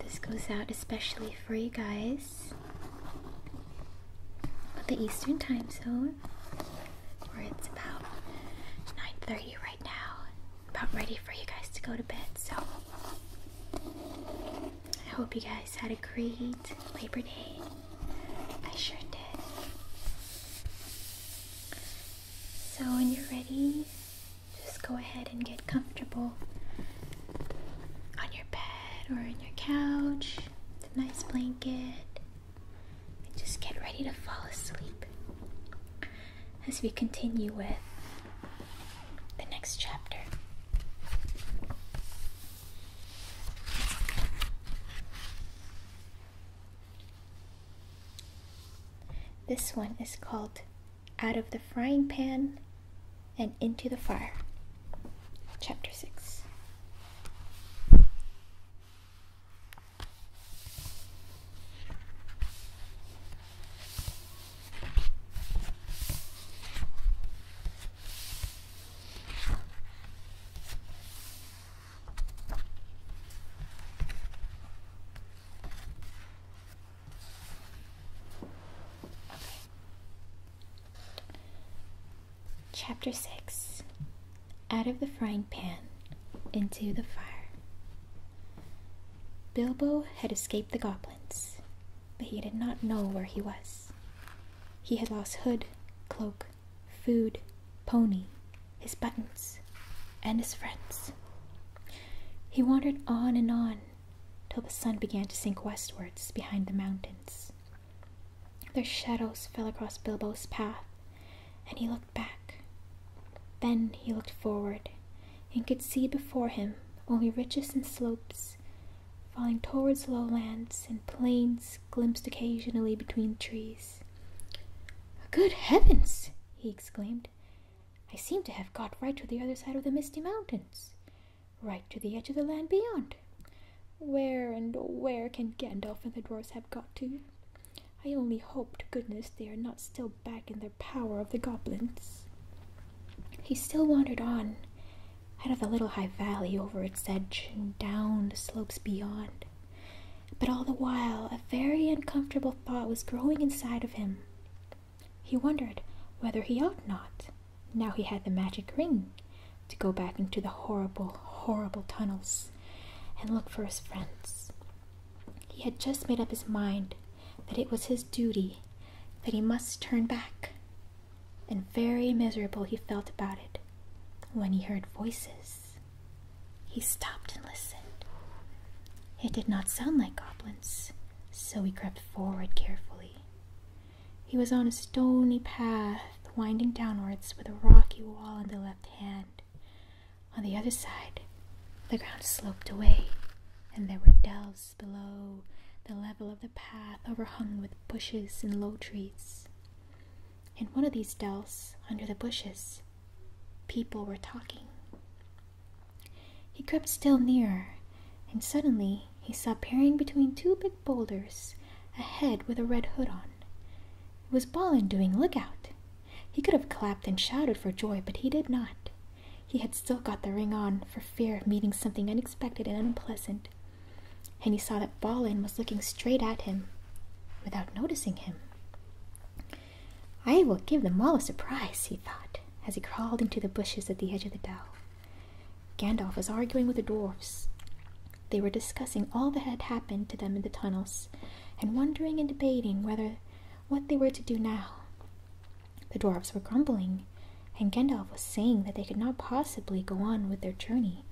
This goes out especially for you guys the Eastern time zone, where it's about 9:30 right now. About ready for you guys to go to bed. So I hope you guys had a great Labor Day. I sure did. So, when you're ready, just go ahead and get comfortable on your bed or in your couch with a nice blanket and just get ready to fall asleep as we continue with the next chapter. This one is called out of the frying pan and into the fire. Chapter 6. Chapter 6 Out of the Frying Pan into the Fire. Bilbo had escaped the goblins, but he did not know where he was. He had lost hood, cloak, food, pony, his buttons, and his friends. He wandered on and on till the sun began to sink westwards behind the mountains. Their shadows fell across Bilbo's path, and he looked back. Then he looked forward and could see before him only ridges and slopes, falling towards lowlands and plains glimpsed occasionally between trees. Good heavens! he exclaimed. I seem to have got right to the other side of the misty mountains, right to the edge of the land beyond. Where and where can Gandalf and the dwarfs have got to? I only hope to goodness they are not still back in their power of the goblins. He still wandered on, out of the little high valley over its edge and down the slopes beyond. But all the while, a very uncomfortable thought was growing inside of him. He wondered whether he ought not, now he had the magic ring, to go back into the horrible, horrible tunnels and look for his friends. He had just made up his mind that it was his duty, that he must turn back. And very miserable he felt about it when he heard voices. He stopped and listened. It did not sound like goblins, so he crept forward carefully. He was on a stony path winding downwards with a rocky wall on the left hand. On the other side, the ground sloped away, and there were dells below. The level of the path overhung with bushes and low trees. In one of these dells, under the bushes, people were talking. He crept still nearer, and suddenly he saw peering between two big boulders a head with a red hood on. It was Balin doing lookout. He could have clapped and shouted for joy, but he did not. He had still got the ring on for fear of meeting something unexpected and unpleasant, and he saw that Balin was looking straight at him without noticing him. I will give them all a surprise, he thought, as he crawled into the bushes at the edge of the dell. Gandalf was arguing with the dwarfs. They were discussing all that had happened to them in the tunnels, and wondering and debating whether what they were to do now. The dwarfs were grumbling, and Gandalf was saying that they could not possibly go on with their journey,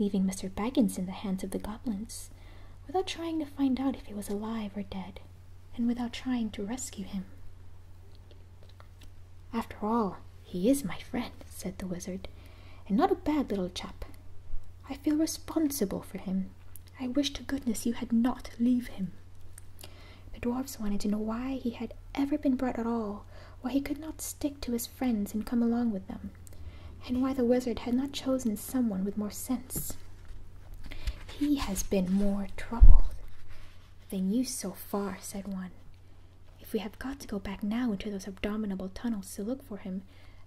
leaving Mr. Baggins in the hands of the goblins, without trying to find out if he was alive or dead and without trying to rescue him. After all, he is my friend, said the wizard, and not a bad little chap. I feel responsible for him. I wish to goodness you had not leave him. The dwarfs wanted to know why he had ever been brought at all, why he could not stick to his friends and come along with them, and why the wizard had not chosen someone with more sense. He has been more troubled than you so far, said one. If we have got to go back now into those abominable tunnels to look for him,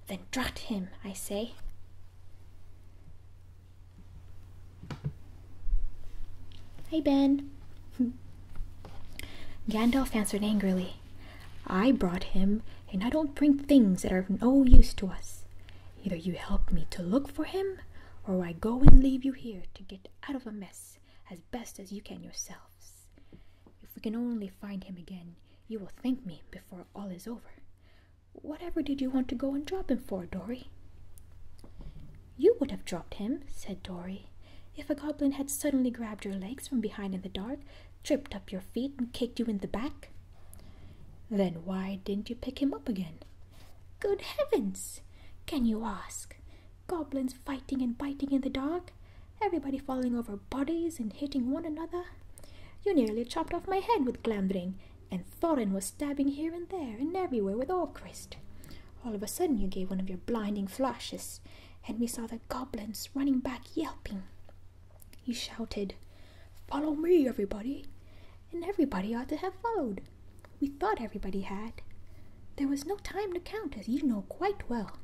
then drat him, I say. Hey, Ben. Gandalf answered angrily, I brought him, and I don't bring things that are of no use to us. Either you help me to look for him, or I go and leave you here to get out of a mess as best as you can yourselves. If we can only find him again, you will thank me before all is over. Whatever did you want to go and drop him for, Dory? You would have dropped him, said Dory, if a goblin had suddenly grabbed your legs from behind in the dark, tripped up your feet, and kicked you in the back. Then why didn't you pick him up again? Good heavens! Can you ask? Goblins fighting and biting in the dark, everybody falling over bodies and hitting one another. You nearly chopped off my head with Glambring, and Thorin was stabbing here and there and everywhere with Orcrist. All of a sudden, you gave one of your blinding flashes, and we saw the goblins running back yelping. He shouted, Follow me, everybody! And everybody ought to have followed. We thought everybody had. There was no time to count, as you know quite well,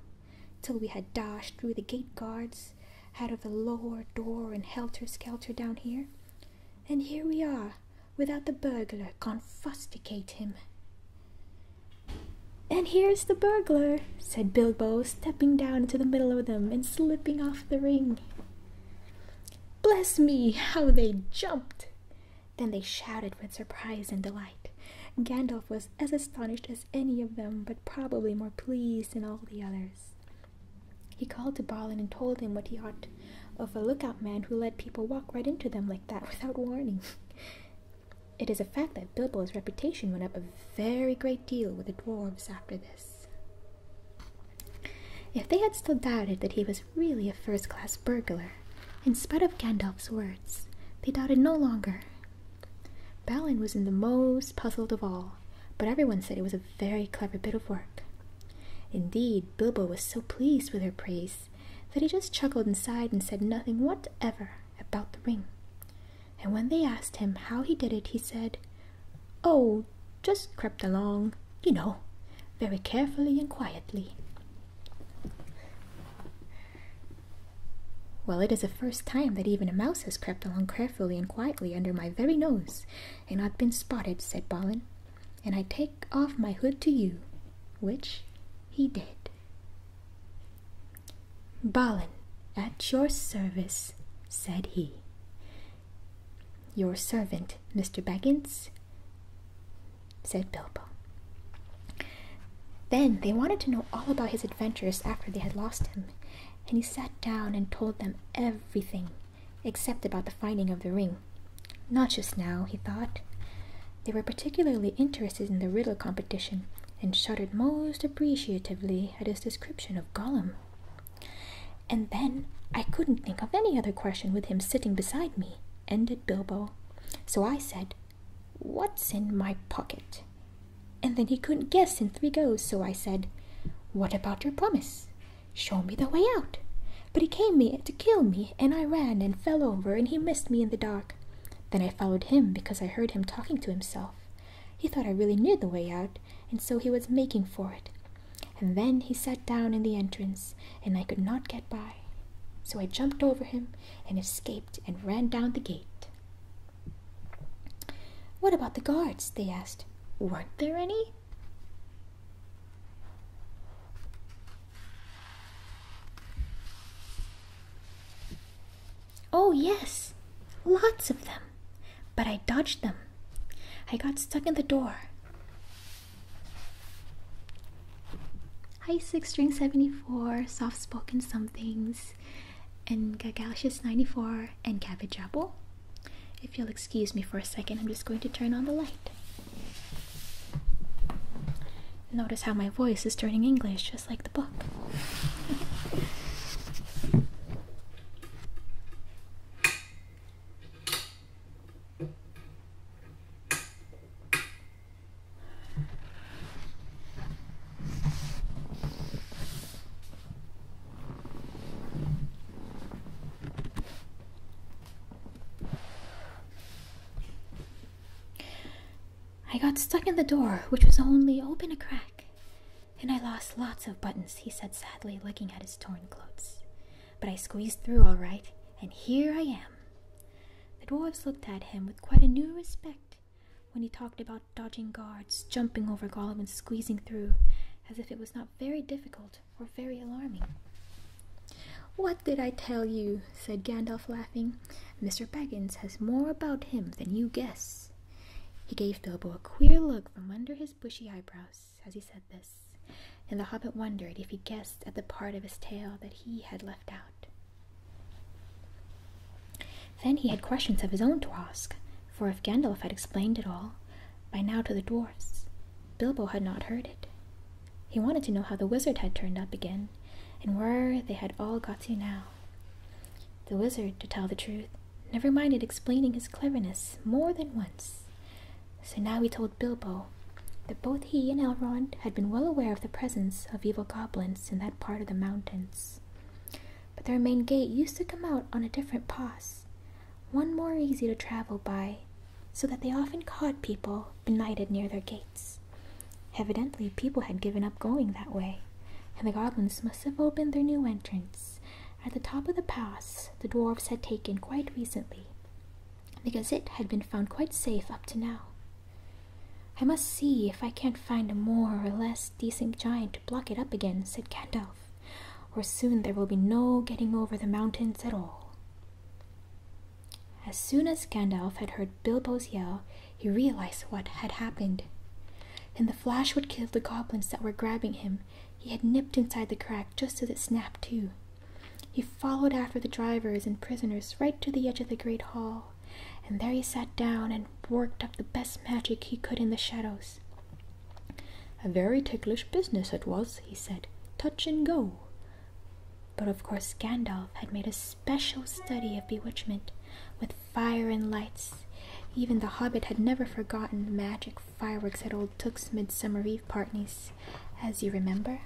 till we had dashed through the gate guards, out of the lower door, and helter skelter down here. And here we are, without the burglar, confusticate him. And here's the burglar, said Bilbo, stepping down into the middle of them and slipping off the ring. Bless me, how they jumped! Then they shouted with surprise and delight. Gandalf was as astonished as any of them, but probably more pleased than all the others. He called to Balin and told him what he ought of a lookout man who let people walk right into them like that without warning. It is a fact that Bilbo's reputation went up a very great deal with the dwarves after this. If they had still doubted that he was really a first class burglar, in spite of Gandalf's words, they doubted no longer. Balin was in the most puzzled of all, but everyone said it was a very clever bit of work. Indeed, Bilbo was so pleased with her praise that he just chuckled inside and said nothing whatever about the ring. And when they asked him how he did it, he said, Oh, just crept along, you know, very carefully and quietly. Well, it is the first time that even a mouse has crept along carefully and quietly under my very nose and not been spotted, said Balin. And I take off my hood to you, which he did. Balin, at your service, said he. Your servant, Mr. Baggins, said Bilbo. Then they wanted to know all about his adventures after they had lost him, and he sat down and told them everything, except about the finding of the ring. Not just now, he thought. They were particularly interested in the riddle competition, and shuddered most appreciatively at his description of Gollum. And then I couldn't think of any other question with him sitting beside me, ended Bilbo. So I said, What's in my pocket? And then he couldn't guess in three goes, so I said, What about your promise? Show me the way out. But he came me to kill me, and I ran and fell over, and he missed me in the dark. Then I followed him because I heard him talking to himself. He thought I really knew the way out, and so he was making for it. And then he sat down in the entrance, and I could not get by. So I jumped over him and escaped and ran down the gate. What about the guards? they asked. Weren't there any? Oh, yes, lots of them but I dodged them. I got stuck in the door. Hi, Six String 74, Soft Spoken Somethings, and Gagalicious 94, and Cabbage Apple. If you'll excuse me for a second, I'm just going to turn on the light. Notice how my voice is turning English, just like the book. I got stuck in the door, which was only open a crack. And I lost lots of buttons, he said sadly, looking at his torn clothes. But I squeezed through all right, and here I am. The dwarfs looked at him with quite a new respect when he talked about dodging guards, jumping over Gollum, and squeezing through, as if it was not very difficult or very alarming. What did I tell you? said Gandalf, laughing. Mr. Baggins has more about him than you guess. He gave Bilbo a queer look from under his bushy eyebrows as he said this, and the hobbit wondered if he guessed at the part of his tale that he had left out. Then he had questions of his own to ask, for if Gandalf had explained it all, by now to the dwarfs, Bilbo had not heard it. He wanted to know how the wizard had turned up again, and where they had all got to now. The wizard, to tell the truth, never minded explaining his cleverness more than once. So now he told Bilbo that both he and Elrond had been well aware of the presence of evil goblins in that part of the mountains. But their main gate used to come out on a different pass, one more easy to travel by, so that they often caught people benighted near their gates. Evidently, people had given up going that way, and the goblins must have opened their new entrance at the top of the pass the dwarfs had taken quite recently, because it had been found quite safe up to now. I must see if I can't find a more or less decent giant to block it up again, said Gandalf, or soon there will be no getting over the mountains at all. As soon as Gandalf had heard Bilbo's yell, he realized what had happened. In the flash would kill the goblins that were grabbing him, he had nipped inside the crack just as it snapped too. He followed after the drivers and prisoners right to the edge of the great hall, and there he sat down and worked up the best magic he could in the shadows. A very ticklish business it was, he said. Touch and go. But of course, Gandalf had made a special study of bewitchment, with fire and lights. Even the hobbit had never forgotten the magic fireworks at old Took's Midsummer Eve parties, as you remember.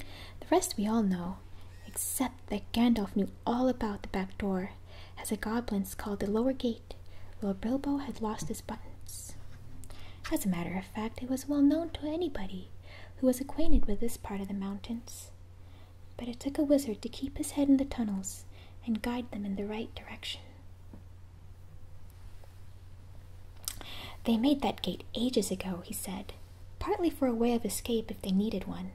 The rest we all know, except that Gandalf knew all about the back door, as the goblins called the lower gate, where Bilbo had lost his buttons. As a matter of fact, it was well known to anybody who was acquainted with this part of the mountains but it took a wizard to keep his head in the tunnels and guide them in the right direction. They made that gate ages ago, he said, partly for a way of escape if they needed one,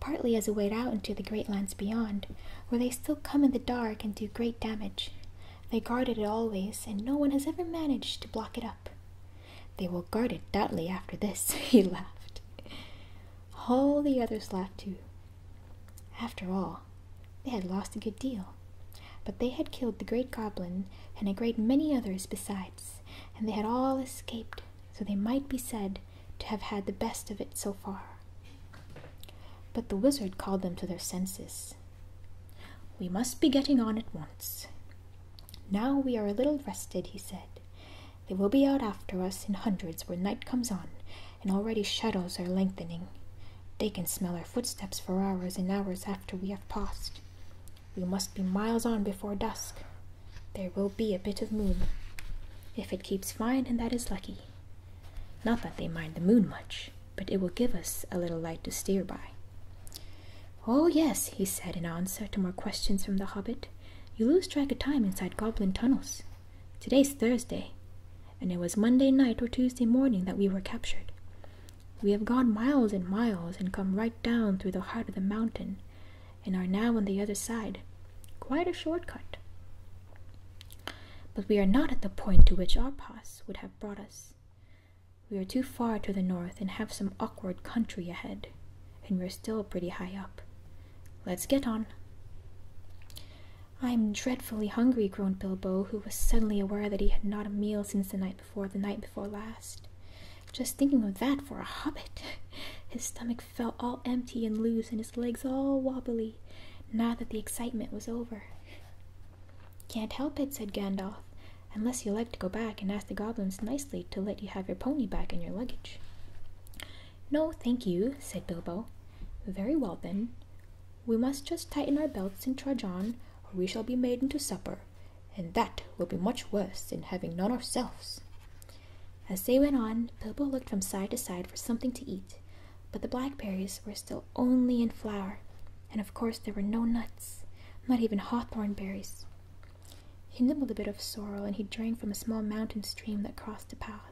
partly as a way out into the great lands beyond, where they still come in the dark and do great damage. They guarded it always, and no one has ever managed to block it up. They will guard it doubly after this, he laughed. All the others laughed too, after all, they had lost a good deal, but they had killed the great goblin and a great many others besides, and they had all escaped, so they might be said to have had the best of it so far. But the wizard called them to their senses. We must be getting on at once. Now we are a little rested, he said, they will be out after us in hundreds when night comes on, and already shadows are lengthening. They can smell our footsteps for hours and hours after we have passed. We must be miles on before dusk. There will be a bit of moon. If it keeps fine, and that is lucky. Not that they mind the moon much, but it will give us a little light to steer by. Oh, yes, he said in answer to more questions from the hobbit. You lose track of time inside goblin tunnels. Today's Thursday, and it was Monday night or Tuesday morning that we were captured. We have gone miles and miles and come right down through the heart of the mountain and are now on the other side. Quite a short cut. But we are not at the point to which our pass would have brought us. We are too far to the north and have some awkward country ahead, and we're still pretty high up. Let's get on. I am dreadfully hungry, groaned Bilbo, who was suddenly aware that he had not a meal since the night before, the night before last. Just thinking of that for a hobbit! His stomach felt all empty and loose, and his legs all wobbly, now that the excitement was over. Can't help it, said Gandalf, unless you like to go back and ask the goblins nicely to let you have your pony back and your luggage. No, thank you, said Bilbo. Very well then. We must just tighten our belts and trudge on, or we shall be made into supper, and that will be much worse than having none ourselves. As they went on, Bilbo looked from side to side for something to eat, but the blackberries were still only in flower, and of course there were no nuts, not even hawthorn berries. He nibbled a bit of sorrel, and he drank from a small mountain stream that crossed the path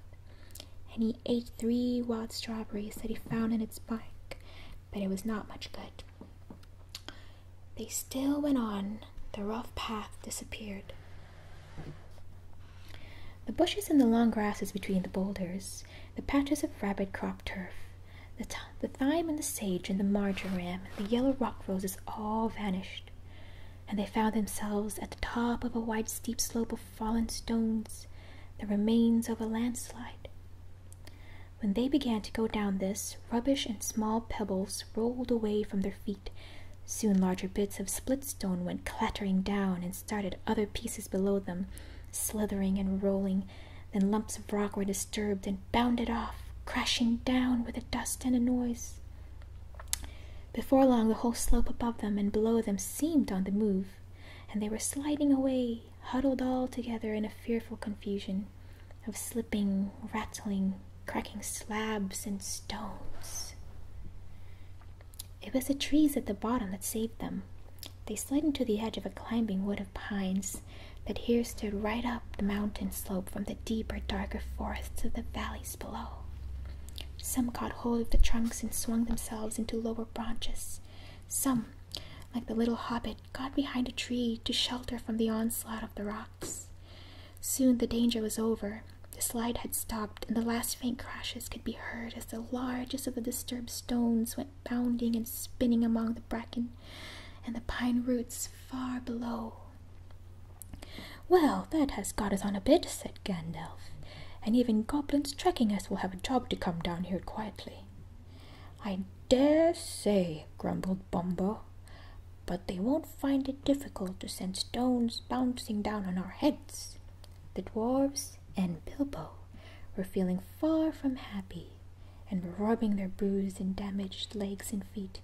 and he ate three wild strawberries that he found in its bank, but it was not much good. They still went on, the rough path disappeared. The bushes and the long grasses between the boulders, the patches of rabbit cropped turf, the, thyme and the sage and the marjoram and the yellow rock roses all vanished and they found themselves at the top of a wide steep slope of fallen stones, the remains of a landslide. When they began to go down this, rubbish and small pebbles rolled away from their feet. Soon larger bits of split stone went clattering down and started other pieces below them, slithering and rolling. Then lumps of rock were disturbed and bounded off, crashing down with a dust and a noise. Before long, the whole slope above them and below them seemed on the move, and they were sliding away, huddled all together in a fearful confusion of slipping, rattling, cracking slabs and stones. It was the trees at the bottom that saved them. They slid into the edge of a climbing wood of pines that here stood right up the mountain slope from the deeper, darker forests of the valleys below. Some caught hold of the trunks and swung themselves into lower branches. Some, like the little hobbit, got behind a tree to shelter from the onslaught of the rocks. Soon the danger was over. The slide had stopped, and the last faint crashes could be heard as the largest of the disturbed stones went bounding and spinning among the bracken and the pine roots far below. Well, that has got us on a bit, said Gandalf, and even goblins tracking us will have a job to come down here quietly. I dare say, grumbled Bombo, but they won't find it difficult to send stones bouncing down on our heads. The dwarves and Bilbo were feeling far from happy and were rubbing their bruised and damaged legs and feet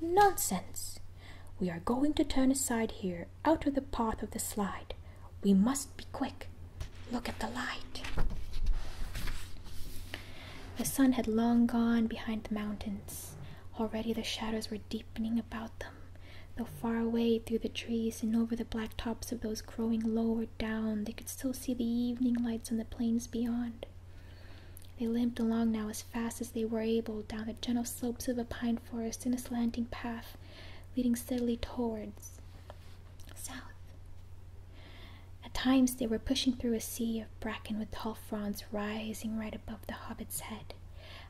Nonsense! We are going to turn aside here, out of the path of the slide. We must be quick. Look at the light. The sun had long gone behind the mountains. Already the shadows were deepening about them, though far away through the trees and over the black tops of those growing lower down, they could still see the evening lights on the plains beyond. They limped along now as fast as they were able down the gentle slopes of the pine Forest in a slanting path leading steadily towards south. At times they were pushing through a sea of bracken with tall fronds rising right above the hobbit's head.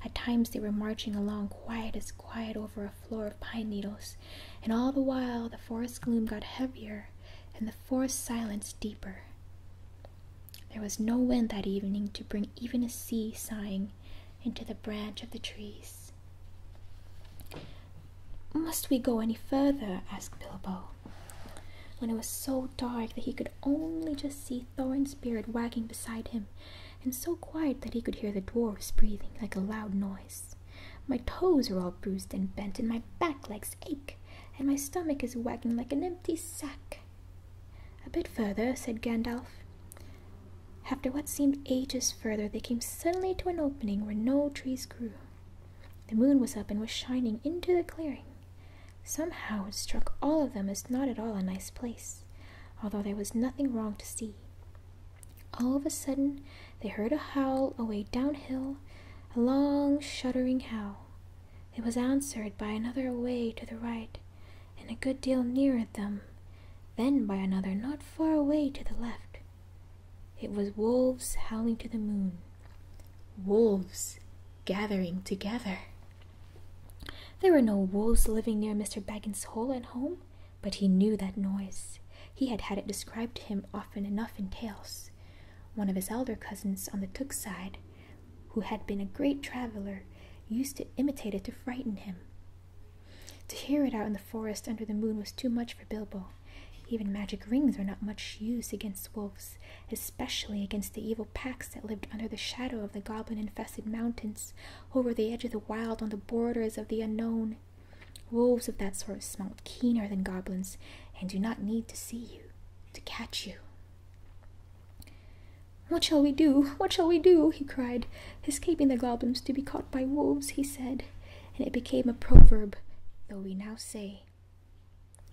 At times they were marching along quiet as quiet over a floor of pine needles, and all the while the forest gloom got heavier and the forest silence deeper. There was no wind that evening to bring even a sea sighing into the branch of the trees. Must we go any further? asked Bilbo. When it was so dark that he could only just see Thorin's beard wagging beside him, and so quiet that he could hear the dwarfs breathing like a loud noise. My toes are all bruised and bent, and my back legs ache, and my stomach is wagging like an empty sack. A bit further, said Gandalf. After what seemed ages further, they came suddenly to an opening where no trees grew. The moon was up and was shining into the clearing. Somehow it struck all of them as not at all a nice place, although there was nothing wrong to see. All of a sudden, they heard a howl away downhill, a long, shuddering howl. It was answered by another away to the right, and a good deal nearer them, then by another not far away to the left. It was wolves howling to the moon. Wolves gathering together. There were no wolves living near Mr. Baggin's hole and home, but he knew that noise. He had had it described to him often enough in tales. One of his elder cousins on the Took side who had been a great traveler, used to imitate it to frighten him. To hear it out in the forest under the moon was too much for Bilbo. Even magic rings are not much use against wolves, especially against the evil packs that lived under the shadow of the goblin infested mountains, over the edge of the wild, on the borders of the unknown. Wolves of that sort smell keener than goblins, and do not need to see you to catch you. What shall we do? What shall we do? he cried. Escaping the goblins to be caught by wolves, he said, and it became a proverb, though we now say,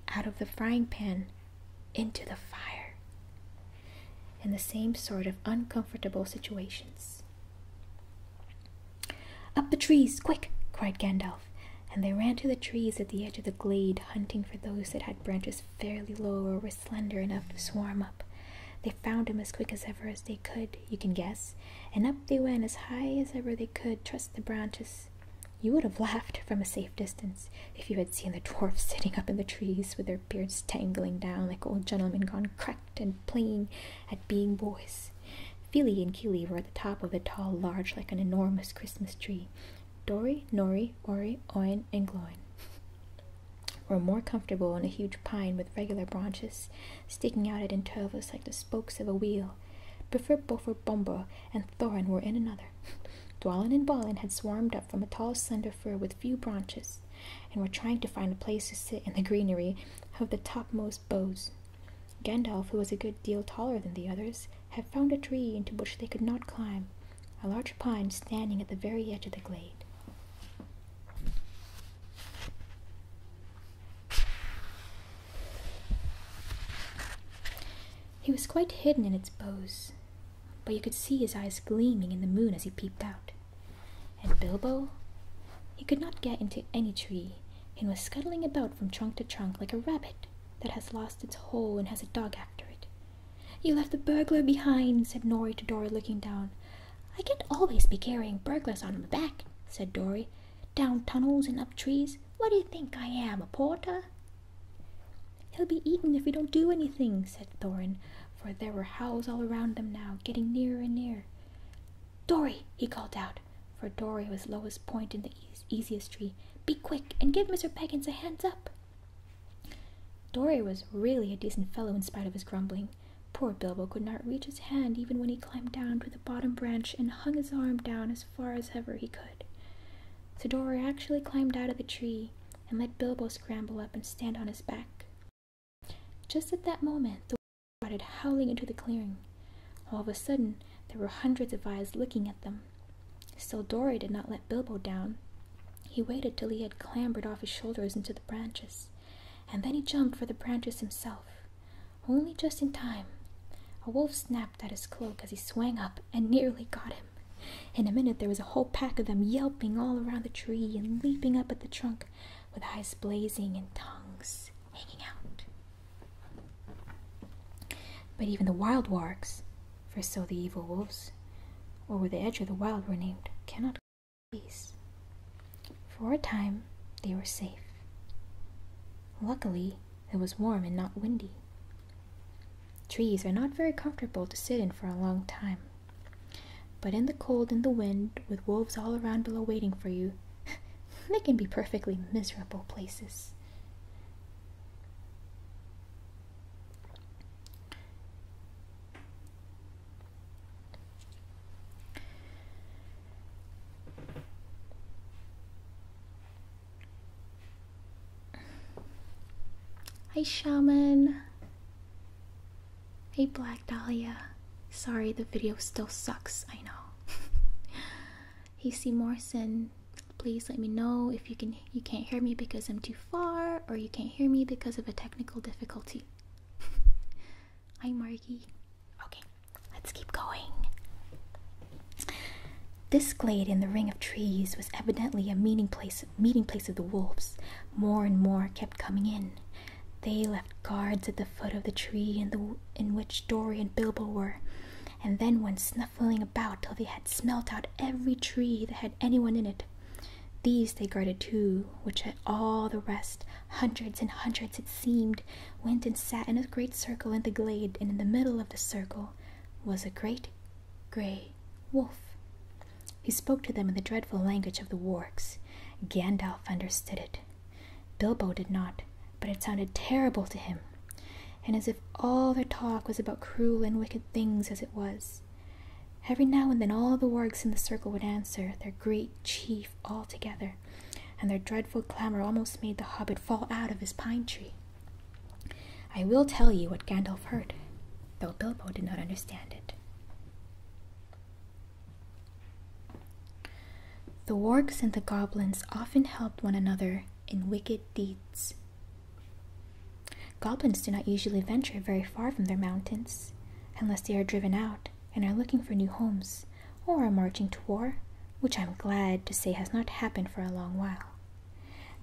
Out of the frying pan, into the fire. In the same sort of uncomfortable situations. Up the trees, quick! cried Gandalf, and they ran to the trees at the edge of the glade, hunting for those that had branches fairly low or were slender enough to swarm up. They found him as quick as ever as they could, you can guess, and up they went as high as ever they could, trust the branches. You would have laughed from a safe distance if you had seen the dwarfs sitting up in the trees with their beards tangling down like old gentlemen gone cracked and playing at being boys. Feely and Keely were at the top of a tall lodge like an enormous Christmas tree, Dory, Nori, Ori, Oin, and Gloin were more comfortable in a huge pine with regular branches sticking out at intervals like the spokes of a wheel. Bifurbofer Bombo and Thorin were in another. Dwalin and Balin had swarmed up from a tall, slender fir with few branches, and were trying to find a place to sit in the greenery of the topmost boughs. Gandalf, who was a good deal taller than the others, had found a tree into which they could not climb, a large pine standing at the very edge of the glade. He was quite hidden in its boughs, but you could see his eyes gleaming in the moon as he peeped out. And Bilbo? He could not get into any tree, and was scuttling about from trunk to trunk like a rabbit that has lost its hole and has a dog after it, you left the burglar behind, said Nori to Dory, looking down. I can't always be carrying burglars on my back, said Dory. Down tunnels and up trees. What do you think I am, a porter? He'll be eaten if we don't do anything, said Thorin, for there were howls all around them now, getting nearer and nearer. Dory, he called out, for Dory was lowest point in the easiest tree. Be quick and give Mr. Peggins a hands up. Dory was really a decent fellow in spite of his grumbling. Poor Bilbo could not reach his hand even when he climbed down to the bottom branch and hung his arm down as far as ever he could. So Dory actually climbed out of the tree and let Bilbo scramble up and stand on his back. Just at that moment, the started howling into the clearing. All of a sudden, there were hundreds of eyes looking at them. Still, Dory did not let Bilbo down. He waited till he had clambered off his shoulders into the branches, and then he jumped for the branches himself, only just in time. A wolf snapped at his cloak as he swung up and nearly got him. In a minute, there was a whole pack of them yelping all around the tree and leaping up at the trunk with eyes blazing and tongues hanging out. But even the wild wargs, for so the evil wolves, over the edge of the wild were named, cannot peace. For a time, they were safe. Luckily, it was warm and not windy. Trees are not very comfortable to sit in for a long time. But in the cold and the wind, with wolves all around below waiting for you, they can be perfectly miserable places. Hi, Shaman. Hey, Black Dahlia. Sorry, the video still sucks. I know. hey, C. Morrison please let me know if you can you can't hear me because I'm too far or you can't hear me because of a technical difficulty. Hi Margie. Okay, let's keep going. This glade in the ring of trees was evidently a meeting place meeting place of the wolves. More and more kept coming in. They left guards at the foot of the tree in the in which Dory and Bilbo were, and then went snuffling about till they had smelt out every tree that had. Any one in it. These they guarded too, which had all the rest, hundreds and hundreds it seemed, went and sat in a great circle in the glade, and in the middle of the circle was a great grey wolf. He spoke to them in the dreadful language of the wargs. Gandalf understood it. Bilbo did not, but it sounded terrible to him and as if all their talk was about cruel and wicked things as it was. Every now and then all the wargs in the circle would answer, their great chief all together, and their dreadful clamour almost made the hobbit fall out of his pine tree. I will tell you what Gandalf heard, though Bilbo did not understand it. The wargs and the goblins often helped one another in wicked deeds. Goblins do not usually venture very far from their mountains, unless they are driven out and are looking for new homes or are marching to war, which I'm glad to say has not happened for a long while.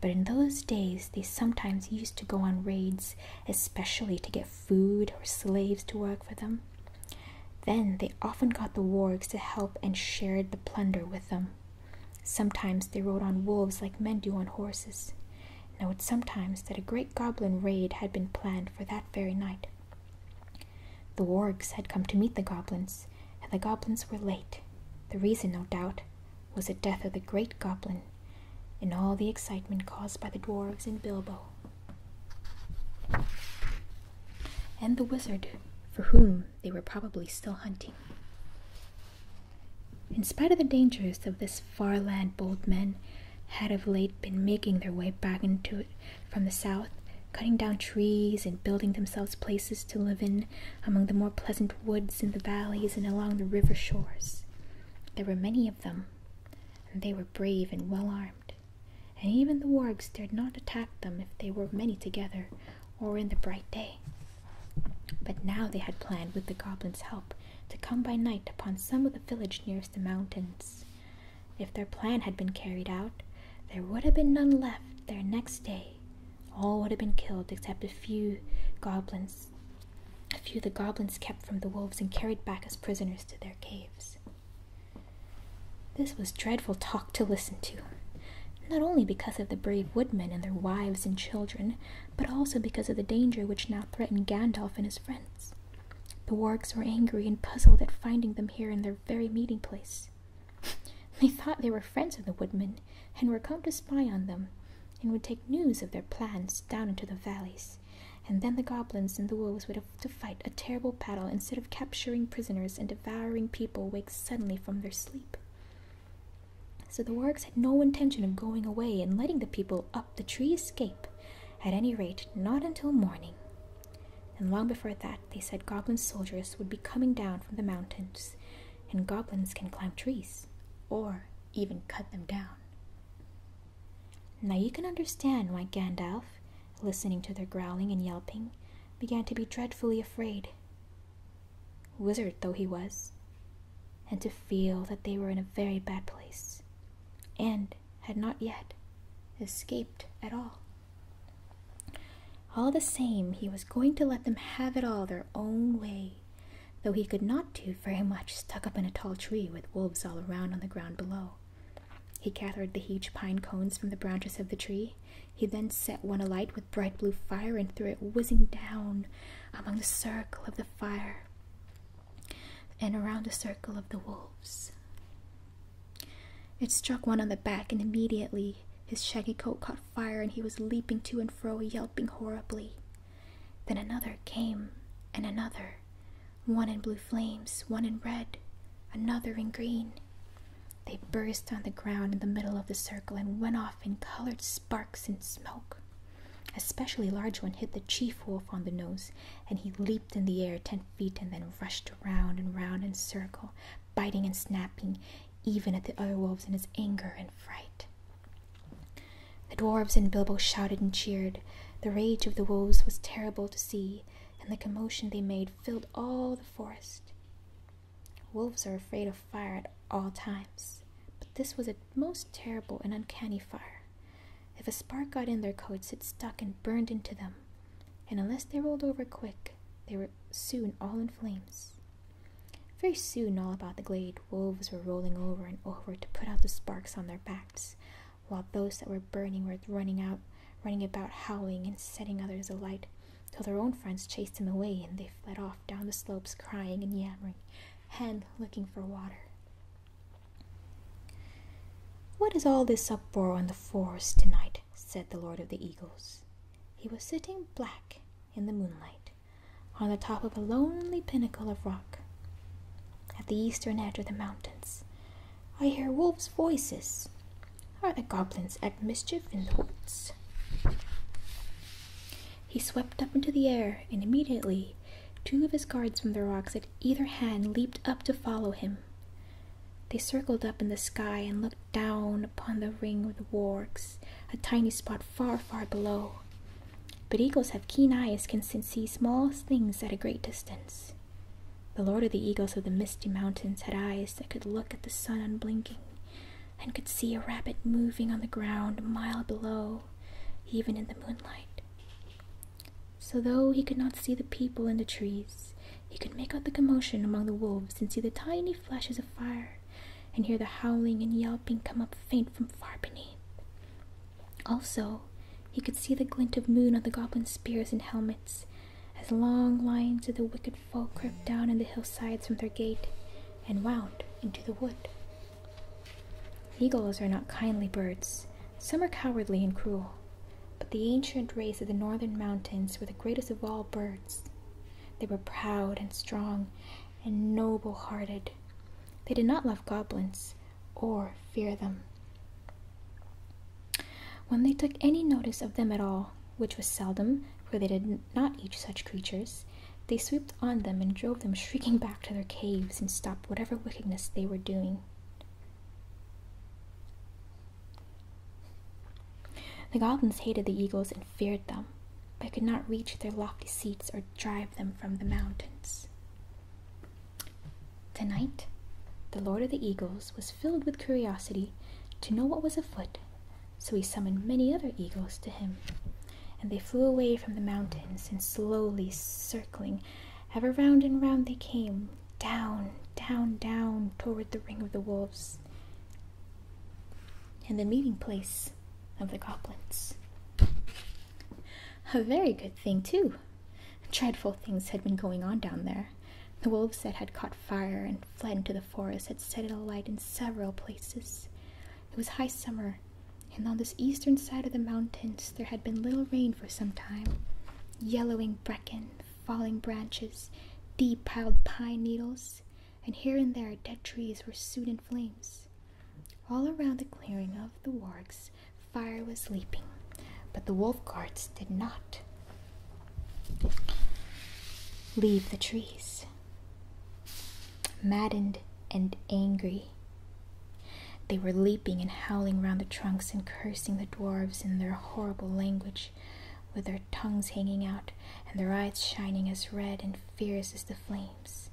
But in those days, they sometimes used to go on raids, especially to get food or slaves to work for them. Then they often got the wargs to help and shared the plunder with them. Sometimes they rode on wolves like men do on horses, and it was sometimes that a great goblin raid had been planned for that very night. The wargs had come to meet the goblins, and the goblins were late. The reason, no doubt, was the death of the great goblin, and all the excitement caused by the dwarfs and Bilbo. And the wizard, for whom they were probably still hunting. In spite of the dangers of this far land, bold men had of late been making their way back into it from the south, cutting down trees and building themselves places to live in among the more pleasant woods in the valleys and along the river shores. There were many of them, and they were brave and well armed, and even the wargs dared not attack them if they were many together or in the bright day. But now they had planned, with the goblins' help, to come by night upon some of the village nearest the mountains. If their plan had been carried out, there would have been none left there next day. All would have been killed except a few goblins. A few the goblins kept from the wolves and carried back as prisoners to their caves. This was dreadful talk to listen to not only because of the brave woodmen and their wives and children, but also because of the danger which now threatened Gandalf and his friends. The wargs were angry and puzzled at finding them here in their very meeting place. They thought they were friends of the woodmen, and were come to spy on them, and would take news of their plans down into the valleys, and then the goblins and the wolves would have to fight a terrible battle instead of capturing prisoners and devouring people waked suddenly from their sleep. So the works had no intention of going away and letting the people up the tree escape, at any rate, not until morning. And long before that, they said goblin soldiers would be coming down from the mountains, and goblins can climb trees, or even cut them down. Now you can understand why Gandalf, listening to their growling and yelping, began to be dreadfully afraid wizard though he was, and to feel that they were in a very bad place, and had not yet escaped at all. All the same, he was going to let them have it all their own way, though he could not do very much stuck up in a tall tree with wolves all around on the ground below. He gathered the huge pine cones from the branches of the tree he then set one alight with bright blue fire and threw it whizzing down among the circle of the fire and around the circle of the wolves. It struck one on the back, and immediately his shaggy coat caught fire, and he was leaping to and fro, yelping horribly. Then another came, and another, one in blue flames, one in red, another in green. They burst on the ground in the middle of the circle and went off off in colored sparks and smoke. A specially large one hit the chief wolf on the nose, and he leaped in the air ten feet and then rushed round and round in a circle, biting and snapping even at the other wolves in his anger and fright. The dwarfs and Bilbo shouted and cheered. The rage of the wolves was terrible to see, and the commotion they made filled all the forest. Wolves are afraid of fire at all times, but this was a most terrible and uncanny fire. If a spark got in their coats, it stuck and burned into them, and unless they rolled over quick, they were soon all in flames. Very soon, all about the glade, wolves were rolling over and over to put out the sparks on their backs, while those that were burning were running out, running about howling and setting others alight till their own friends chased him away and they fled off down the slopes crying and yammering, Hen looking for water. What is all this uproar in the forest tonight? said the Lord of the Eagles. He was sitting black in the moonlight on the top of a lonely pinnacle of rock at the eastern edge of the mountains. I hear wolves' voices. Are the goblins at mischief in the woods? He swept up into the air, and immediately two of his guards from the rocks at either hand leaped up to follow him. They circled up in the sky and looked down upon the ring of the wargs, a tiny spot far, far below. But eagles have keen eyes can see small things at a great distance. The lord of the eagles of the misty mountains had eyes that could look at the sun unblinking, and could see a rabbit moving on the ground a mile below, even in the moonlight. So, though he could not see the people in the trees, he could make out the commotion among the wolves and see the tiny flashes of fire and hear the howling and yelping come up faint from far beneath. Also, he could see the glint of moon on the goblin spears and helmets as long lines of the wicked folk crept down in the hillsides from their gate and wound into the wood. Eagles are not kindly birds. Some are cowardly and cruel, but the ancient race of the northern mountains were the greatest of all birds. They were proud and strong and noble hearted. They did not love goblins or fear them. When they took any notice of them at all, which was seldom, for they did not eat such creatures, they swooped on them and drove them shrieking back to their caves and stopped whatever wickedness they were doing. The goblins hated the eagles and feared them, but could not reach their lofty seats or drive them from the mountains. Tonight, the Lord of the Eagles was filled with curiosity to know what was afoot, so he summoned many other eagles to him, and they flew away from the mountains, and slowly circling, ever round and round they came, down, down, down toward the ring of the wolves and the meeting place of the goblins. A very good thing, too. Dreadful things had been going on down there. The wolves that had caught fire and fled into the the forest had set it alight in several places. It was high summer, and on this eastern side of the mountains there had been little rain for some time. Yellowing bracken, falling branches, deep piled pine needles, and here and there dead trees were soon in flames. All around the clearing of the wargs, fire was leaping, but the wolf guards did not leave the trees. Maddened and angry, they were leaping and howling round the trunks and cursing the dwarfs in their horrible language, with their tongues hanging out and their eyes shining as red and fierce as the flames.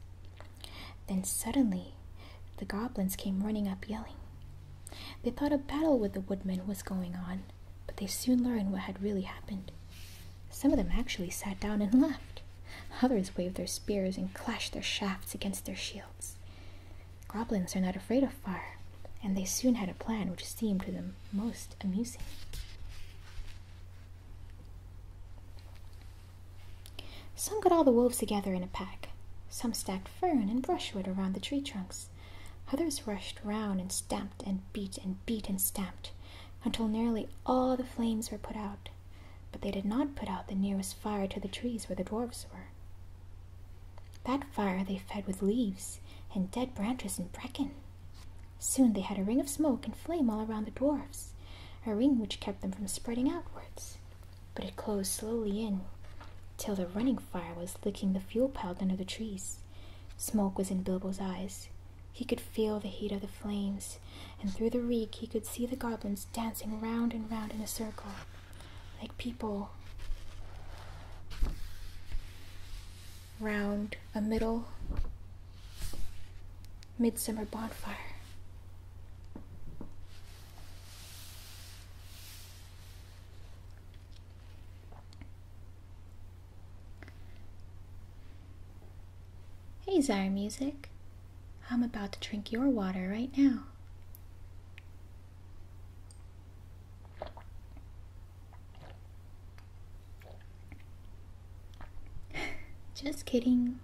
Then suddenly, the goblins came running up yelling. They thought a battle with the woodmen was going on, but they soon learned what had really happened. Some of them actually sat down and laughed. Others waved their spears and clashed their shafts against their shields. Goblins are not afraid of fire, and they soon had a plan which seemed to them most amusing. Some got all the wolves together in a pack. Some stacked fern and brushwood around the tree trunks. Others rushed round and stamped and beat and beat and stamped until nearly all the flames were put out, but they did not put out the nearest fire to the trees where the dwarfs were. That fire they fed with leaves and dead branches and bracken. Soon they had a ring of smoke and flame all around the dwarfs, a ring which kept them from spreading outwards. But it closed slowly in, till the running fire was licking the fuel piled under the trees. Smoke was in Bilbo's eyes, he could feel the heat of the flames, and through the reek he could see the goblins dancing round and round in a circle, like people round a middle midsummer bonfire. Hey, Zyre Music. I'm about to drink your water right now. Just kidding.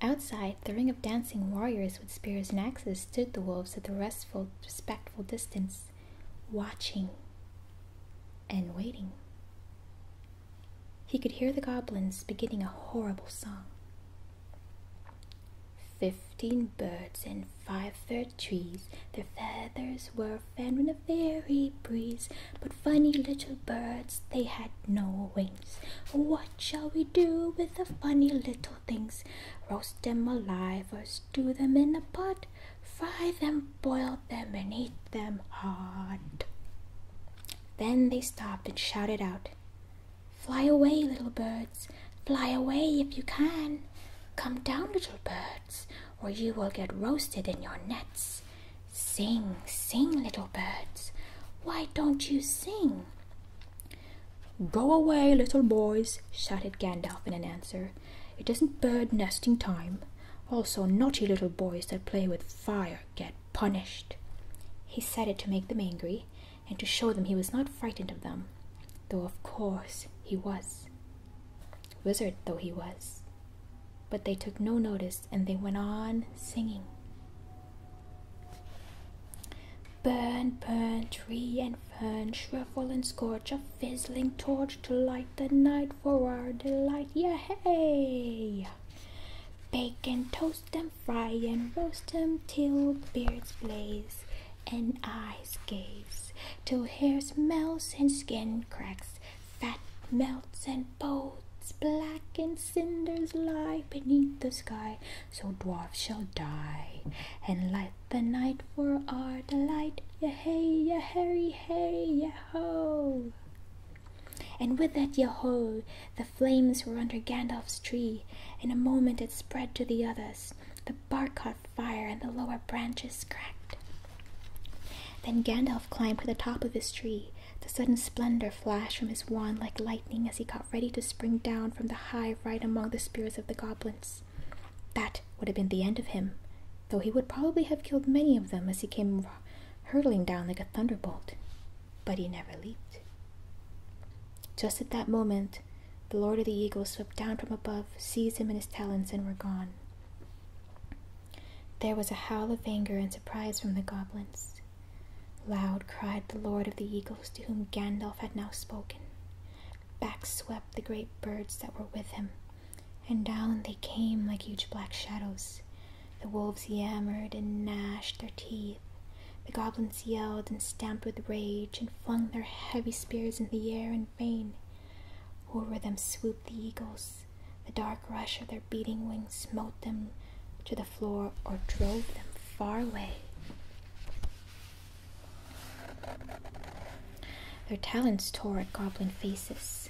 Outside, the ring of dancing warriors with spears and axes stood the wolves at a restful, respectful distance watching and waiting. He could hear the goblins beginning a horrible song. Fifteen birds in five fir trees, their feathers were fanned in a very breeze. But funny little birds, they had no wings. What shall we do with the funny little things? Roast them alive or stew them in a pot, fry them, boil them, and eat them hot. Then they stopped and shouted out, Fly away, little birds, fly away if you can. Come down, little birds, or you will get roasted in your nets. Sing, sing, little birds, why don't you sing? Go away, little boys, shouted Gandalf in answer. It isn't bird nesting time. Also, naughty little boys that play with fire get punished. He said it to make them angry and to show them he was not frightened of them, though of course he was. Wizard though he was. But they took no notice and they went on singing. Burn, burn, tree and and shrivel and scorch a fizzling torch to light the night for our delight. Yay! Bake and toast them, fry and roast them till beards blaze and eyes gaze, till hair smells and skin cracks, fat melts and bones black and cinders lie beneath the sky, so dwarfs shall die and light the night for our delight, ya hey, ya harry, hey, ya ho! And with that ya ho, the flames were under Gandalf's tree. In a moment it spread to the others. The bark caught fire, and the lower branches cracked. Then Gandalf climbed to the top of his tree. The sudden splendor flashed from his wand like lightning as he got ready to spring down from the high right among the spears of the goblins that would have been the end of him, though he would probably have killed many of them as he came hurtling down like a thunderbolt. But he never leaped. Just at that moment, the Lord of the Eagles swept down from above, seized him in his talons, and were gone. There was a howl of anger and surprise from the goblins. Loud cried the Lord of the Eagles, to whom Gandalf had now spoken. Back swept the great birds that were with him, and down they came like huge black shadows. The wolves yammered and gnashed their teeth. The goblins yelled and stamped with rage and flung their heavy spears in the air in vain. Over them swooped the eagles. The dark rush of their beating wings smote them to the floor or drove them far away. Their talons tore at goblin faces.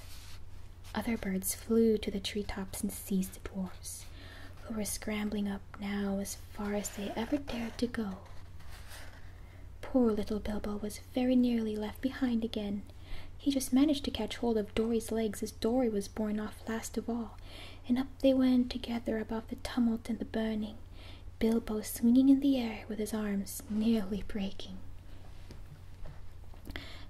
Other birds flew to the treetops and seized the dwarfs, who were scrambling up now as far as they ever dared to go. Poor little Bilbo was very nearly left behind again. He just managed to catch hold of Dory's legs as Dory was borne off last of all, and up they went together above the tumult and the burning, Bilbo swinging in the air with his arms nearly breaking.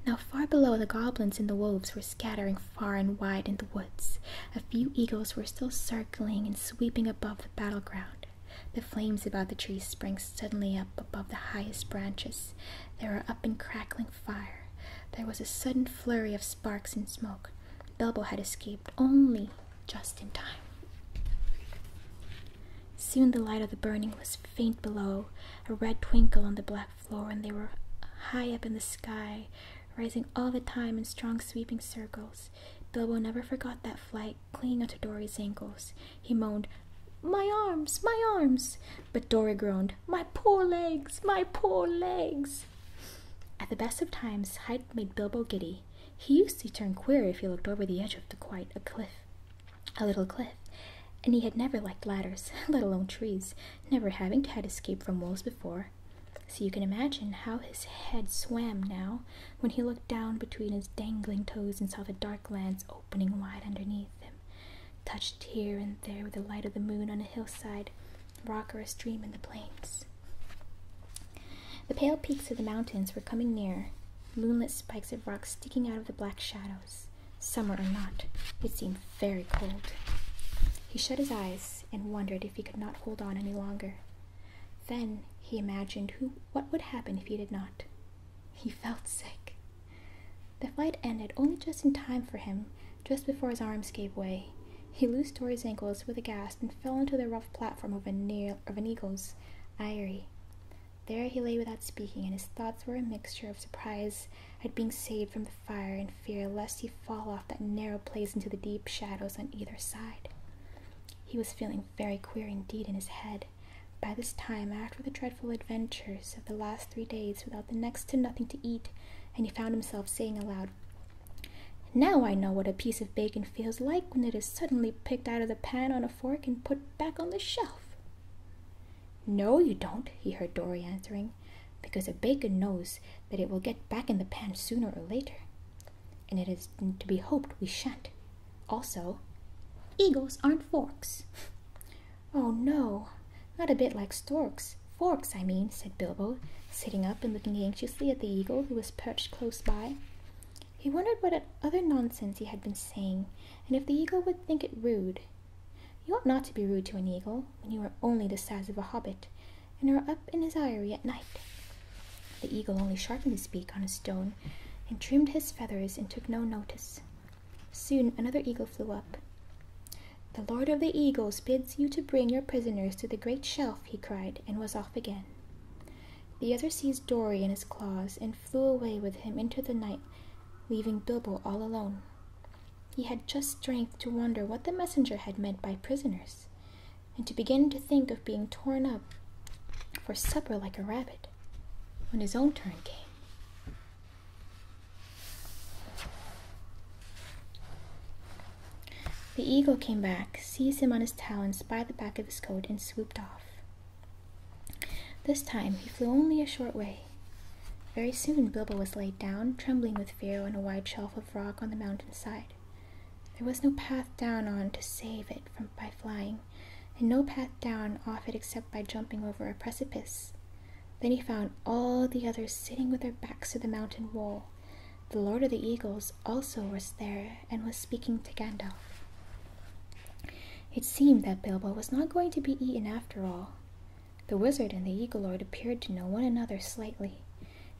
Now, far below, the goblins and the wolves were scattering far and wide in the woods. A few eagles were still circling and sweeping above the battleground. The flames about the trees sprang suddenly up above the highest branches. There were up in crackling fire. There was a sudden flurry of sparks and smoke. Bilbo had escaped only just in time. Soon the light of the burning was faint below, a red twinkle on the black floor, and they were high up in the sky, rising all the time in strong sweeping circles. Bilbo never forgot that flight, clinging onto Dory's ankles. He moaned, My arms, my arms! But Dory groaned, My poor legs, my poor legs! At the best of times, height made Bilbo giddy. He used to turn queer if he looked over the edge of quite a cliff, a little cliff, and he had never liked ladders, let alone trees, never having had escape from walls before. So you can imagine how his head swam now when he looked down between his dangling toes and saw the dark lands opening wide underneath him, touched here and there with the light of the moon on a hillside, rock or a stream in the plains. The pale peaks of the mountains were coming nearer, moonlit spikes of rock sticking out of the black shadows. Summer or not, it seemed very cold. He shut his eyes and wondered if he could not hold on any longer. Then he imagined who, what would happen if he did not. He felt sick. The fight ended only just in time for him, just before his arms gave way. He loosed Tori's ankles with a gasp and fell onto the rough platform of an eagle's John's There he lay without speaking, and his thoughts were a mixture of surprise at being saved from the fire and fear lest he fall off that narrow place into the deep shadows on either side. He was feeling very queer indeed in his head. By this time, after the dreadful adventures of the last three days, without the next to nothing to eat, and he found himself saying aloud, now I know what a piece of bacon feels like when it is suddenly picked out of the pan on a fork and put back on the shelf. No, you don't, he heard Dorry answering, because a bacon knows that it will get back in the pan sooner or later. And it is to be hoped we shan't. Also, eagles aren't forks. oh no, not a bit like storks. Forks, I mean, said Bilbo, sitting up and looking anxiously at the eagle who was perched close by. He wondered what other nonsense he had been saying, and if the eagle would think it rude. You ought not to be rude to an eagle when you are only the size of a hobbit, and are up in his eyrie at night. The eagle only sharpened his beak on a stone, and trimmed his feathers, and took no notice. Soon another eagle flew up. The lord of the eagles bids you to bring your prisoners to the great shelf, he cried, and was off again. The other seized Dory in his claws and flew away with him into the night, leaving Bilbo all alone. He had just strength to wonder what the messenger had meant by prisoners, and to begin to think of being torn up for supper like a rabbit, when his own turn came. The eagle came back, seized him on his talons by the back of his coat, and swooped off. This time he flew only a short way. Very soon Bilbo was laid down, trembling with fear, on a wide shelf of rock on the mountain side. There was no path down on to save it from by flying, and no path down off it except by jumping over a precipice. Then he found all the others sitting with their backs to the mountain wall, the Lord of the Eagles also was there and was speaking to Gandalf. It seemed that Bilbo was not going to be eaten after all. The wizard and the Eagle Lord appeared to know one another slightly,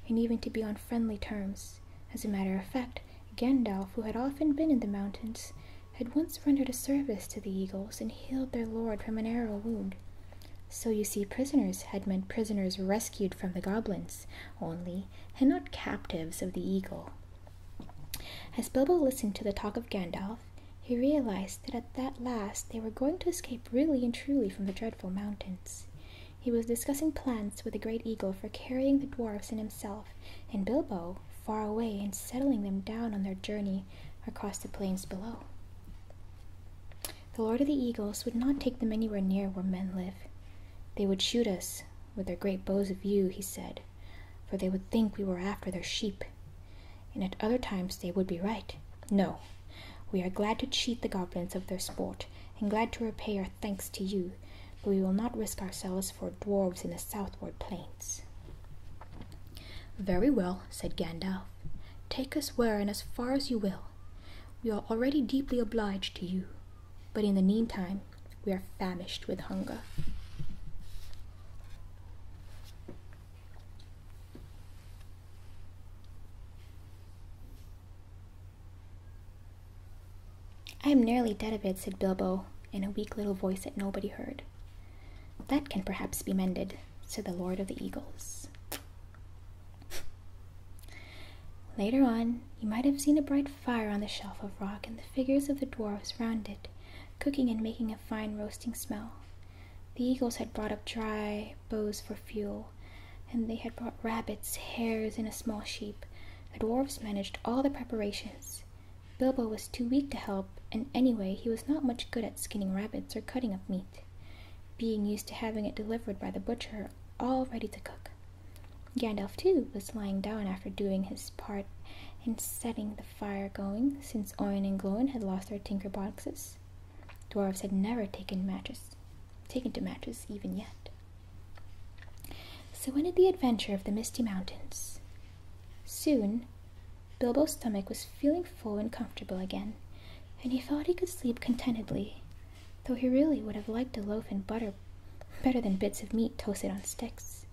and even to be on friendly terms. As a matter of fact, Gandalf, who had often been in the mountains, had once rendered a service to the eagles and healed their lord from an arrow wound. So you see, prisoners had meant prisoners rescued from the goblins, only, and not captives of the eagle. As Bilbo listened to the talk of Gandalf, he realized that at that last they were going to escape really and truly from the dreadful mountains. He was discussing plans with the great eagle for carrying the dwarfs and himself and Bilbo far away and settling them down on their journey across the plains below. The Lord of the Eagles would not take them anywhere near where men live. They would shoot us, with their great bows of yew, he said, for they would think we were after their sheep. And at other times they would be right. No, we are glad to cheat the goblins of their sport, and glad to repay our thanks to you, but we will not risk ourselves for dwarfs in the southward plains. Very well, said Gandalf. Take us where and as far as you will. We are already deeply obliged to you. But in the meantime, we are famished with hunger. I am nearly dead of it, said Bilbo, in a weak little voice that nobody heard. That can perhaps be mended, said the Lord of the Eagles. Later on, you might have seen a bright fire on the shelf of rock and the figures of the dwarfs round it, cooking and making a fine roasting smell. The eagles had brought up dry boughs for fuel, and they had brought rabbits, hares, and a small sheep. The dwarfs managed all the preparations. Bilbo was too weak to help, and anyway, he was not much good at skinning rabbits or cutting up meat. Being used to having it delivered by the butcher all ready to cook. Gandalf, too, was lying down after doing his part in setting the fire going, since Owen and Gloin had lost their tinker boxes. Dwarves had never taken matches, taken to matches even yet. So ended the adventure of the Misty Mountains. Soon, Bilbo's stomach was feeling full and comfortable again, and he thought he could sleep contentedly though he really would have liked a loaf and butter better than bits of meat toasted on sticks.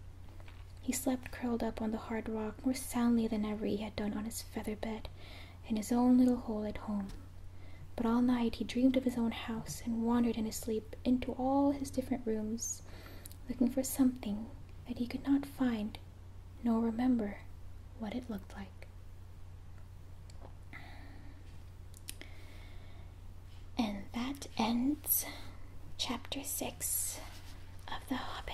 He slept curled up on the hard rock more soundly than ever he had done on his feather bed in his own little hole at home. But all night he dreamed of his own house and wandered in his sleep into all his different rooms, looking for something that he could not find nor remember what it looked like. And that ends chapter 6 of The Hobbit.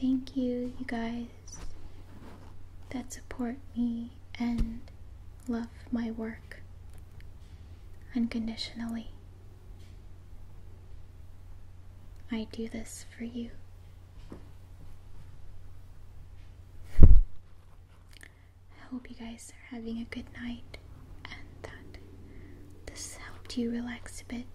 Thank you, you guys, that support me and love my work unconditionally. I do this for you. I hope you guys are having a good night and that this helped you relax a bit.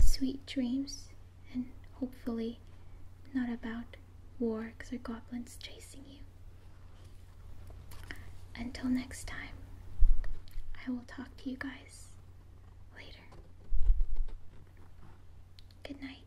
Sweet dreams, and hopefully, not about wargs or goblins chasing you. Until next time, I will talk to you guys later. Good night.